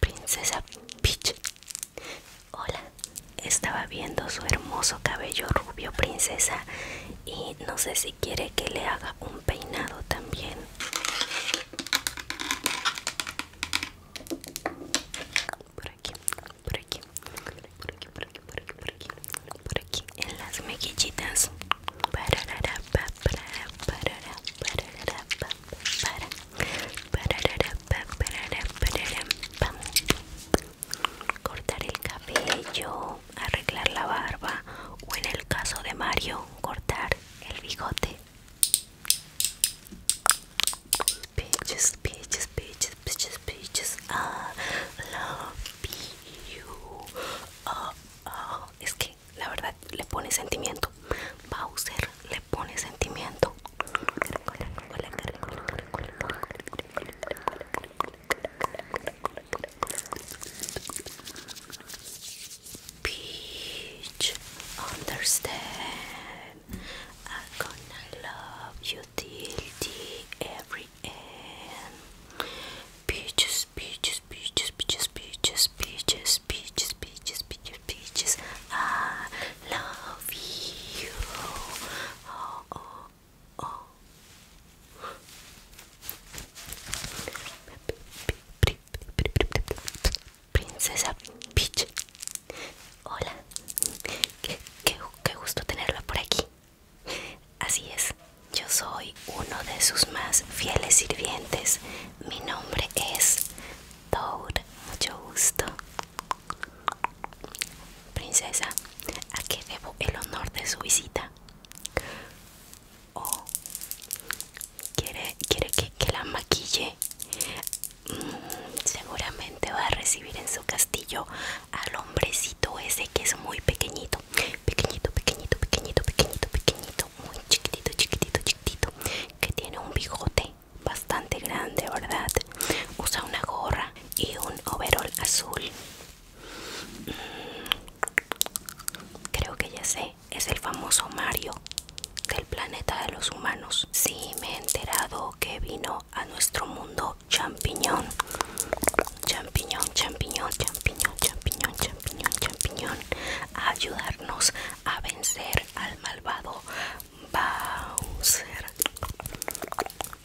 Princesa Peach. Hola. Estaba viendo su hermoso cabello rubio, princesa, y no sé si quiere que le haga un peinado también. Por aquí, por aquí, por aquí, por aquí, por aquí, por aquí, por aquí, por aquí en las mejillitas cortar el cabello, arreglar la barba o en el caso de Mario, cortar el bigote. Oh, oh. Es la verdad le pone sentimiento. Bowser le pone sentimiento. Peach, understand. I'm gonna love you till the every end. Peaches, peaches, peaches, peaches, peaches, peaches, peaches, peaches, peaches, peaches. I love you. Oh, oh, oh. Princesa Peach. Hola. Qué, qué, qué gusto tenerla por aquí. Así es, yo soy uno de sus más fieles sirvientes. Mi nombre es Toad, mucho gusto. Princesa, ¿a qué debo el honor de su visita? Oh, ¿quiere, quiere que, la maquille? Mm, seguramente va a recibir en su castillo al hombrecito ese que es muy pequeñito pequeñito, pequeñito, pequeñito, pequeñito, pequeñito, muy chiquitito, chiquitito, chiquitito, que tiene un bigote bastante grande, ¿verdad? Usa una gorra y un overall azul. Creo que ya sé, es el famoso Mario del planeta de los humanos. Sí, me he enterado que vino a nuestro mundo champiñón champiñón, champiñón, champiñón, champiñón, champiñón, champiñón, ayudarnos a vencer al malvado Bowser.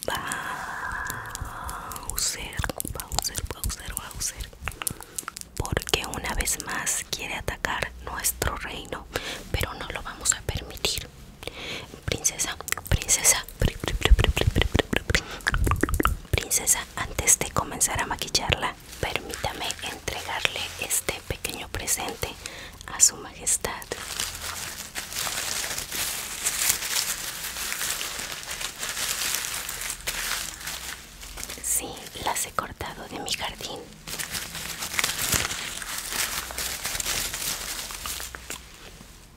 Bowser, Bowser, Bowser, Bowser. Porque una vez más quiere atacar nuestro reino, pero no lo vamos a permitir. princesa, princesa, princesa, antes de comenzar a maquillarla permítame entregarle este pequeño presente a su majestad Sí, las he cortado de mi jardín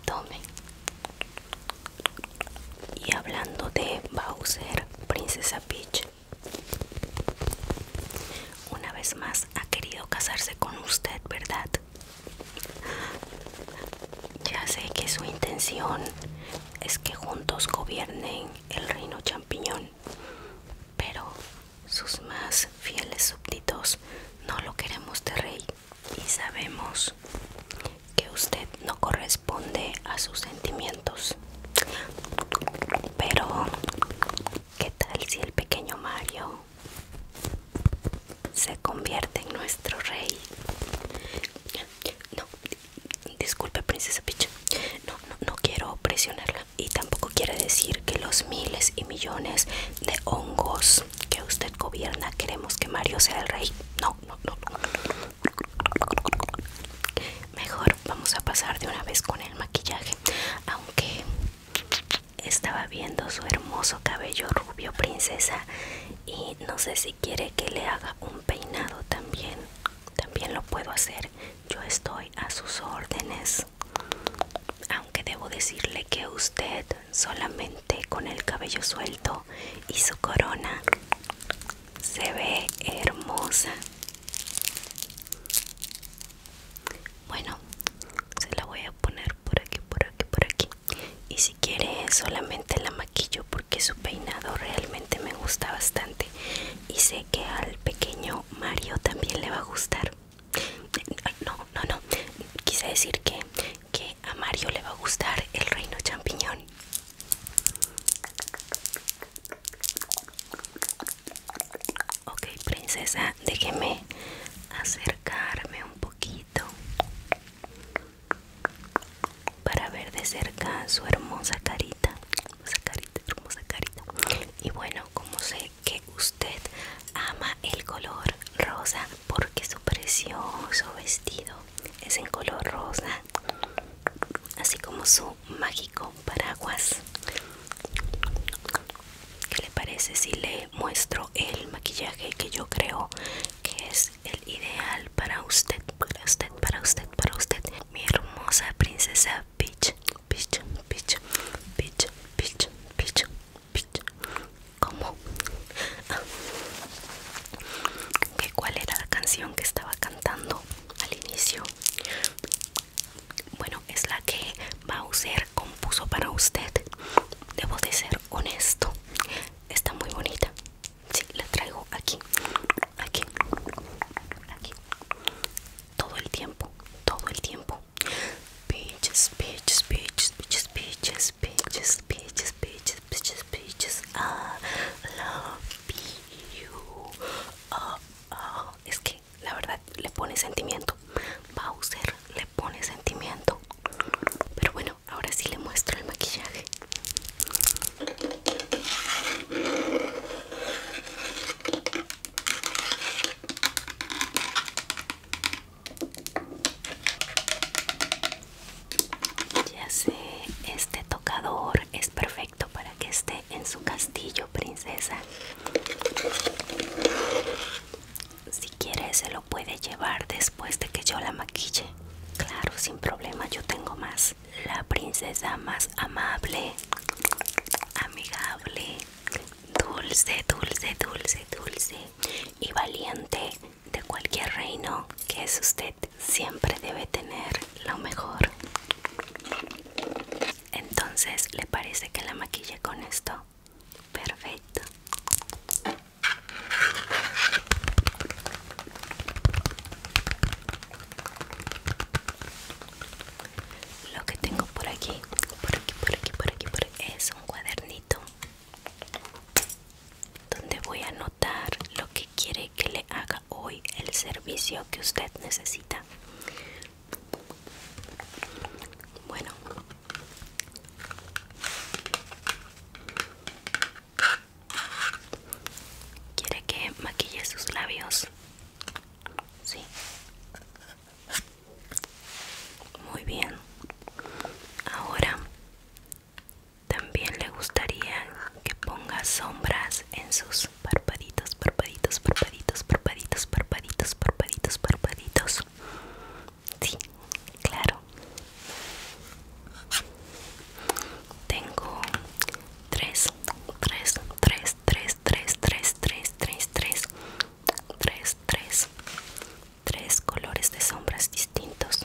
tome y hablando de Bowser Princesa Peach una vez más ha querido casarse con usted verdad ya sé que su intención es que juntos gobiernen el reino champiñón pero sus más fieles súbditos no lo queremos de rey y sabemos que usted no corresponde a sus sentimientos. Pero, ¿qué tal si el pequeño Mario se convierte en nuestro rey? No, disculpe princesa Peach, no, no, no quiero presionarla y tampoco quiere decir que los miles y millones de hongos que usted gobierna queremos que Mario sea el rey. No, Mejor vamos a pasar de una vez con el maquillaje, aunque estaba viendo su hermoso cabello rubio princesa y no sé si quiere que le haga un peinado también. También lo puedo hacer. Yo estoy a sus órdenes. Aunque debo decirle que usted solamente con el cabello suelto y su corona se ve hermosa bueno se la voy a poner por aquí por aquí por aquí y si quiere solamente la maquillo porque su peinado realmente me gusta bastante y sé que al pequeño Mario también le va a gustar no no no quise decir que, que a Mario le va a gustar el reino champiñón. Ok, princesa, déjeme acercarme un poquito para ver de cerca su hermosa carita, hermosa carita, hermosa carita. Y bueno, como sé que usted ama el color rosa porque su precioso vestido es en color rosa, así como su mágico paraguas. ¿Qué le parece si le muestro el maquillaje que yo creo que es el ideal para usted, para usted, para usted, para usted? Mi hermosa princesa Peach, Peach, Peach, Peach, Peach, Peach, ¿Cómo? ¿Cuál era la canción que estaba cantando al inicio? Bueno, es la que Bowser compuso para usted. Debo de ser honesto. Está muy bonita. Sí, la traigo aquí. Aquí. Aquí. Todo el tiempo. Todo el tiempo. Peaches, peaches, peaches, peaches, peaches, peaches, peaches, peaches, love you. Es que la verdad le pone sentimiento. Bowser le pone sentimiento. Pero bueno, ahora sí le muestro el maquillaje. Ya sé, este tocador es perfecto para que esté en su castillo, princesa. Si quiere, se lo puede llevar después de que yo la maquille. Claro, sin problema, yo tengo más. La princesa más amable, amigable, dulce, dulce, dulce, dulce y valiente de cualquier reino que es usted siempre debe tener lo mejor entonces le parece que la maquille con esto perfecto lo que tengo por aquí por aquí por aquí por aquí por es un cuadernito donde voy a anotar lo que quiere que le haga hoy el servicio que usted necesita. Bueno. ¿Quiere que maquille sus labios? Sí. Muy bien. Ahora también le gustaría que ponga sombras en sus parpaditos, parpaditos, parpaditos, parpaditos, parpaditos, parpaditos, parpaditos. Sí, claro. Tengo tres, tres, tres, tres, tres, tres, tres, tres, tres tres, tres, tres colores de sombras distintos.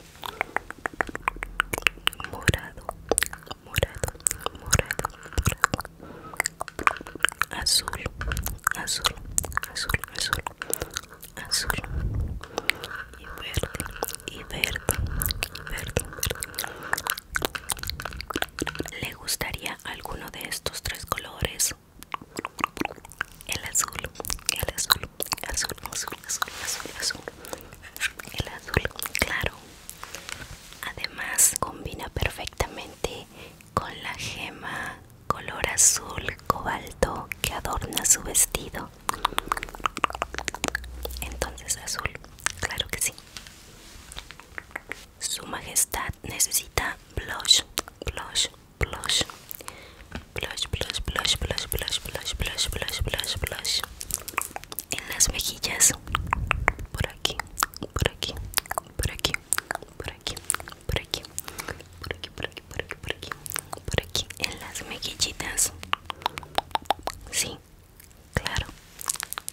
Morado, morado, morado, azul, azul, azul, azul, azul y verde, y verde, y verde, verde. ¿Le gustaría alguno de estos tres colores? el azul, el azul, azul, azul, azul, azul, azul, el azul claro. Además combina perfectamente con la gema color azul cobalto que adorna su vestido. Entonces azul, claro que sí. Su Majestad necesita blush, blush, blush, blush, blush, blush, blush, blush, blush, blush, blush, blush, blush. En las mejillas, por aquí, por aquí, por aquí, por aquí, por aquí, por aquí, por aquí, por aquí, por aquí, por aquí, en las mejillitas. Sí, claro,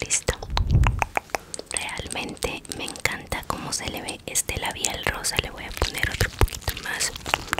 Listo. Realmente me encanta cómo se le ve este labial rosa. Le voy a poner otro poquito más.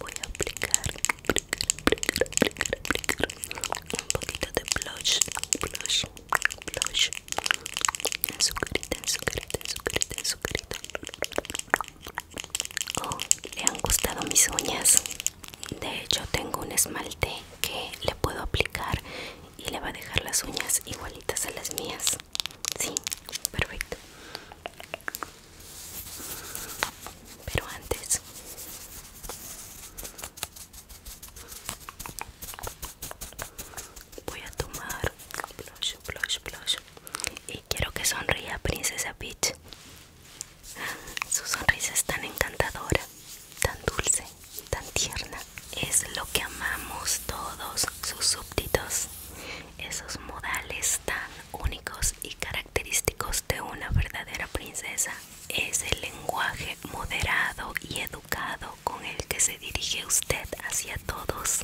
voy a aplicar, aplicar, aplicar, aplicar, aplicar un poquito de blush blush blush en su carita en su en su en su oh le han gustado mis uñas de hecho tengo un esmalte que le puedo aplicar y le va a dejar las uñas igualitas a las mías. Sí, perfecto. Pero antes voy a tomar blush, blush, blush. Y quiero que sonría Princesa Peach. Ah, su sonrisa es tan encantadora, tan dulce tan tierna. Es lo que amamos todos sus súbditos, esos modales tan únicos y característicos de una verdadera princesa. Es el lenguaje moderado y educado con el que se dirige usted hacia todos.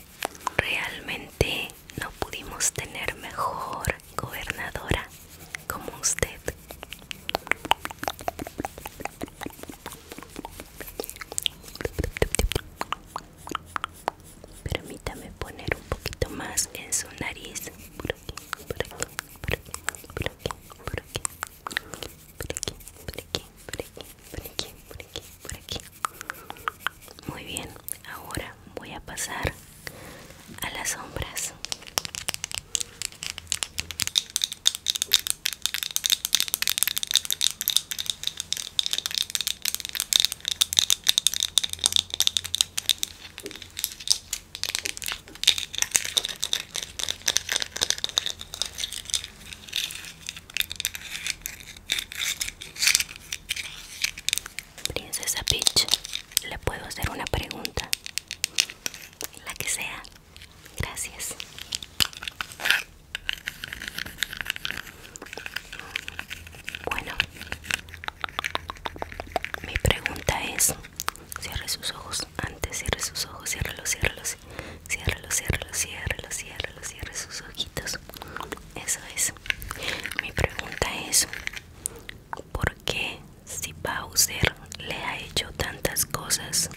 Realmente no pudimos tener mejor gobernadora como usted. Permítame poner un poquito más en su nariz. Por aquí, por aquí, por aquí, por aquí, por aquí, por aquí, por aquí, por aquí, por aquí, por aquí, por aquí. Muy bien, ahora voy a pasar a las sombras. Princesa Peach, le puedo hacer una pregunta. La que sea. Gracias. Bueno, mi pregunta es, cierre sus ojos, antes cierre sus ojos, cierre los, cierre los, cierre los, cierre sus ojitos. Eso es. Mi pregunta es, ¿por qué si Bowser le ha hecho tantas cosas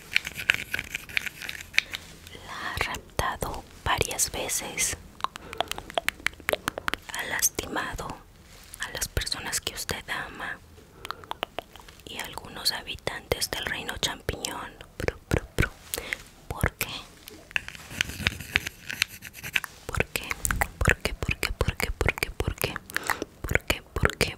la ha raptado varias veces. Ha lastimado a las personas que usted ama y a algunos habitantes del reino champiñón. ¿Por qué? ¿Por qué? ¿Por qué? ¿Por qué? ¿Por qué? ¿Por qué? ¿Por qué? ¿Por qué?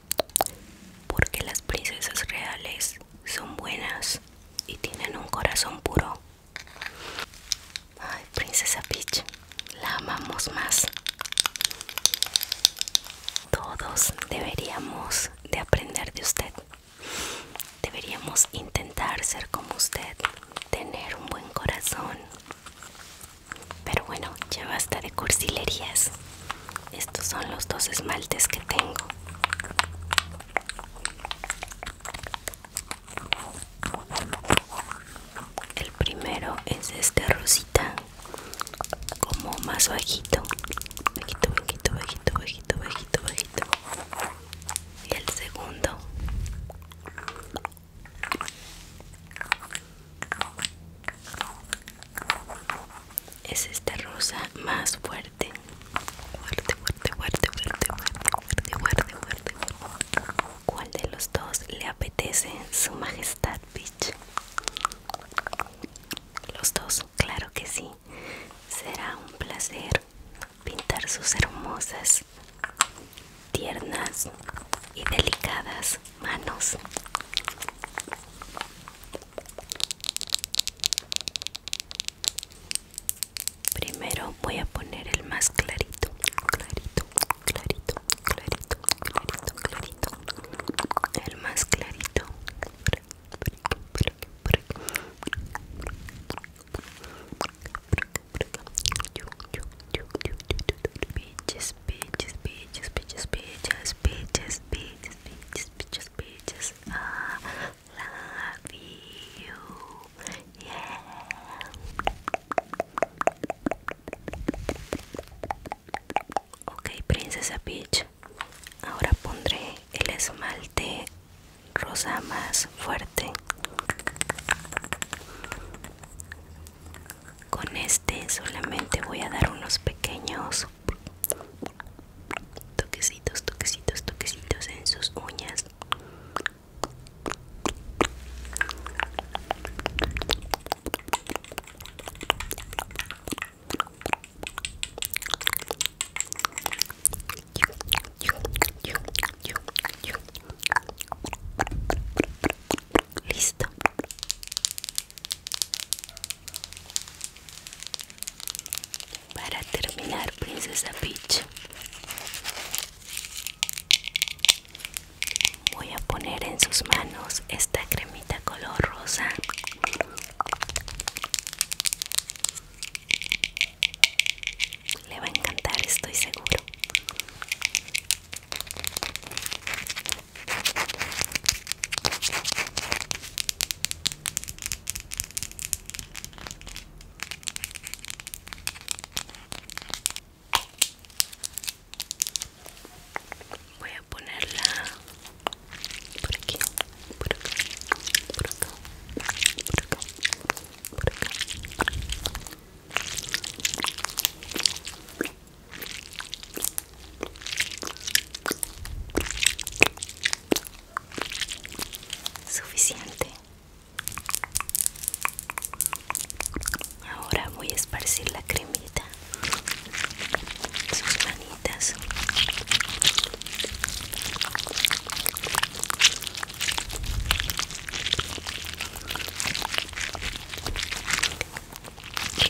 porque las princesas reales son buenas y tienen un corazón puro. Ay, princesa Peach, la amamos más. Todos deberíamos de aprender de usted. Deberíamos intentar ser como usted, tener un buen corazón. Pero bueno, ya basta de cursilerías. Estos son los dos esmaltes que tengo. El primero es este rosita, como más bajito, bajito, bajito, bajito, bajito, bajito, bajito. Y el segundo es esta rosa más fuerte fuerte fuerte fuerte fuerte fuerte fuerte fuerte fuerte cuál de los dos le apetece su majestad bitch los dos claro que sí será un placer pintar sus hermosas tiernas y delicadas manos primero voy a poner el más clarito clarito clarito clarito clarito clarito el más clarito Peaches, peaches, peaches, peaches, peaches, peaches, peaches, peaches, peaches, Ah la love you. Yeah. Ok, princesa Peach. Ahora pondré el esmalte rosa más fuerte. Con este solamente voy a dar unos pequeños Toquecitos, toquecitos, toquecitos en sus uñas. Listo. Para terminar, Princesa Peach, voy a poner en sus manos esta cremita color rosa. Le va a encantar, estoy seguro. Voy a ponerla por aquí, por acá, por acá, por acá, por acá. Suficiente. Ahora voy a esparcir la cremita sus manitas.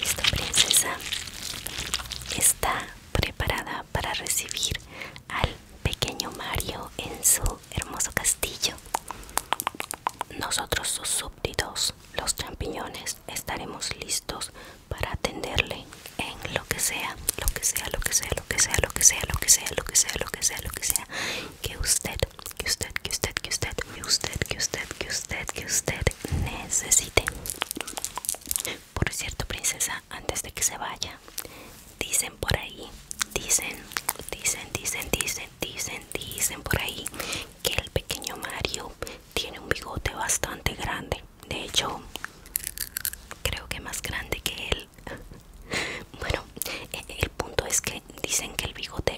Esta princesa. Está preparada para recibir al pequeño Mario en su hermoso castillo. Nosotros, sus súbditos, los champiñones, estaremos listos para atenderle en lo que sea, lo que sea, lo que sea, lo que sea, lo que sea, lo que sea, lo que sea, lo que sea, lo que sea que usted que usted, que usted, que usted, que usted, que usted, que usted, que usted necesite. Por cierto, princesa, antes de que se vaya, dicen por ahí, dicen, dicen, dicen, dicen, dicen, dicen por ahí que el pequeño Mario tiene un bigote bastante grande. De hecho, creo que más grande que él. Bueno, e, el punto es que dicen que el bigote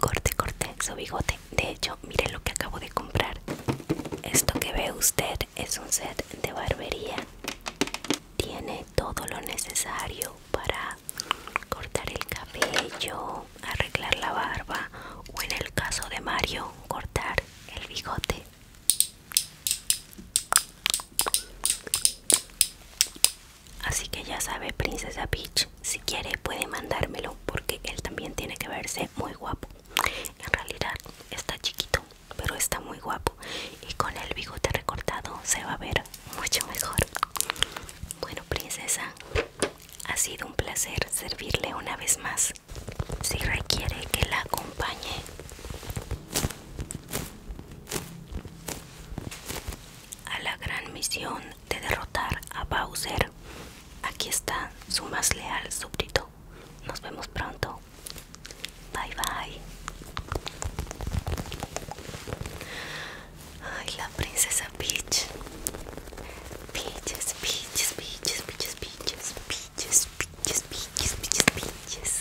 Corte, corte su bigote. De hecho, mire lo que acabo de comprar. Esto que ve usted es un set de barbería. Tiene todo lo necesario para cortar el cabello, arreglar la barba o en el caso de Mario, cortar el bigote. Así que ya sabe, Princesa Peach, si quiere puede mandármelo porque él también tiene que verse muy guapo. En realidad está chiquito, pero está muy guapo y con el bigote recortado se va a ver mucho mejor. Bueno, princesa, ha sido un placer servirle una vez más. Si requiere que la acompañe a la gran misión de derrotar a Bowser. Aquí está su más leal súbdito. Nos vemos pronto. Bye bye. Ay, la princesa Peach. Peaches, peaches, peaches, peaches, peaches, peaches, peaches, peaches, peaches, peaches.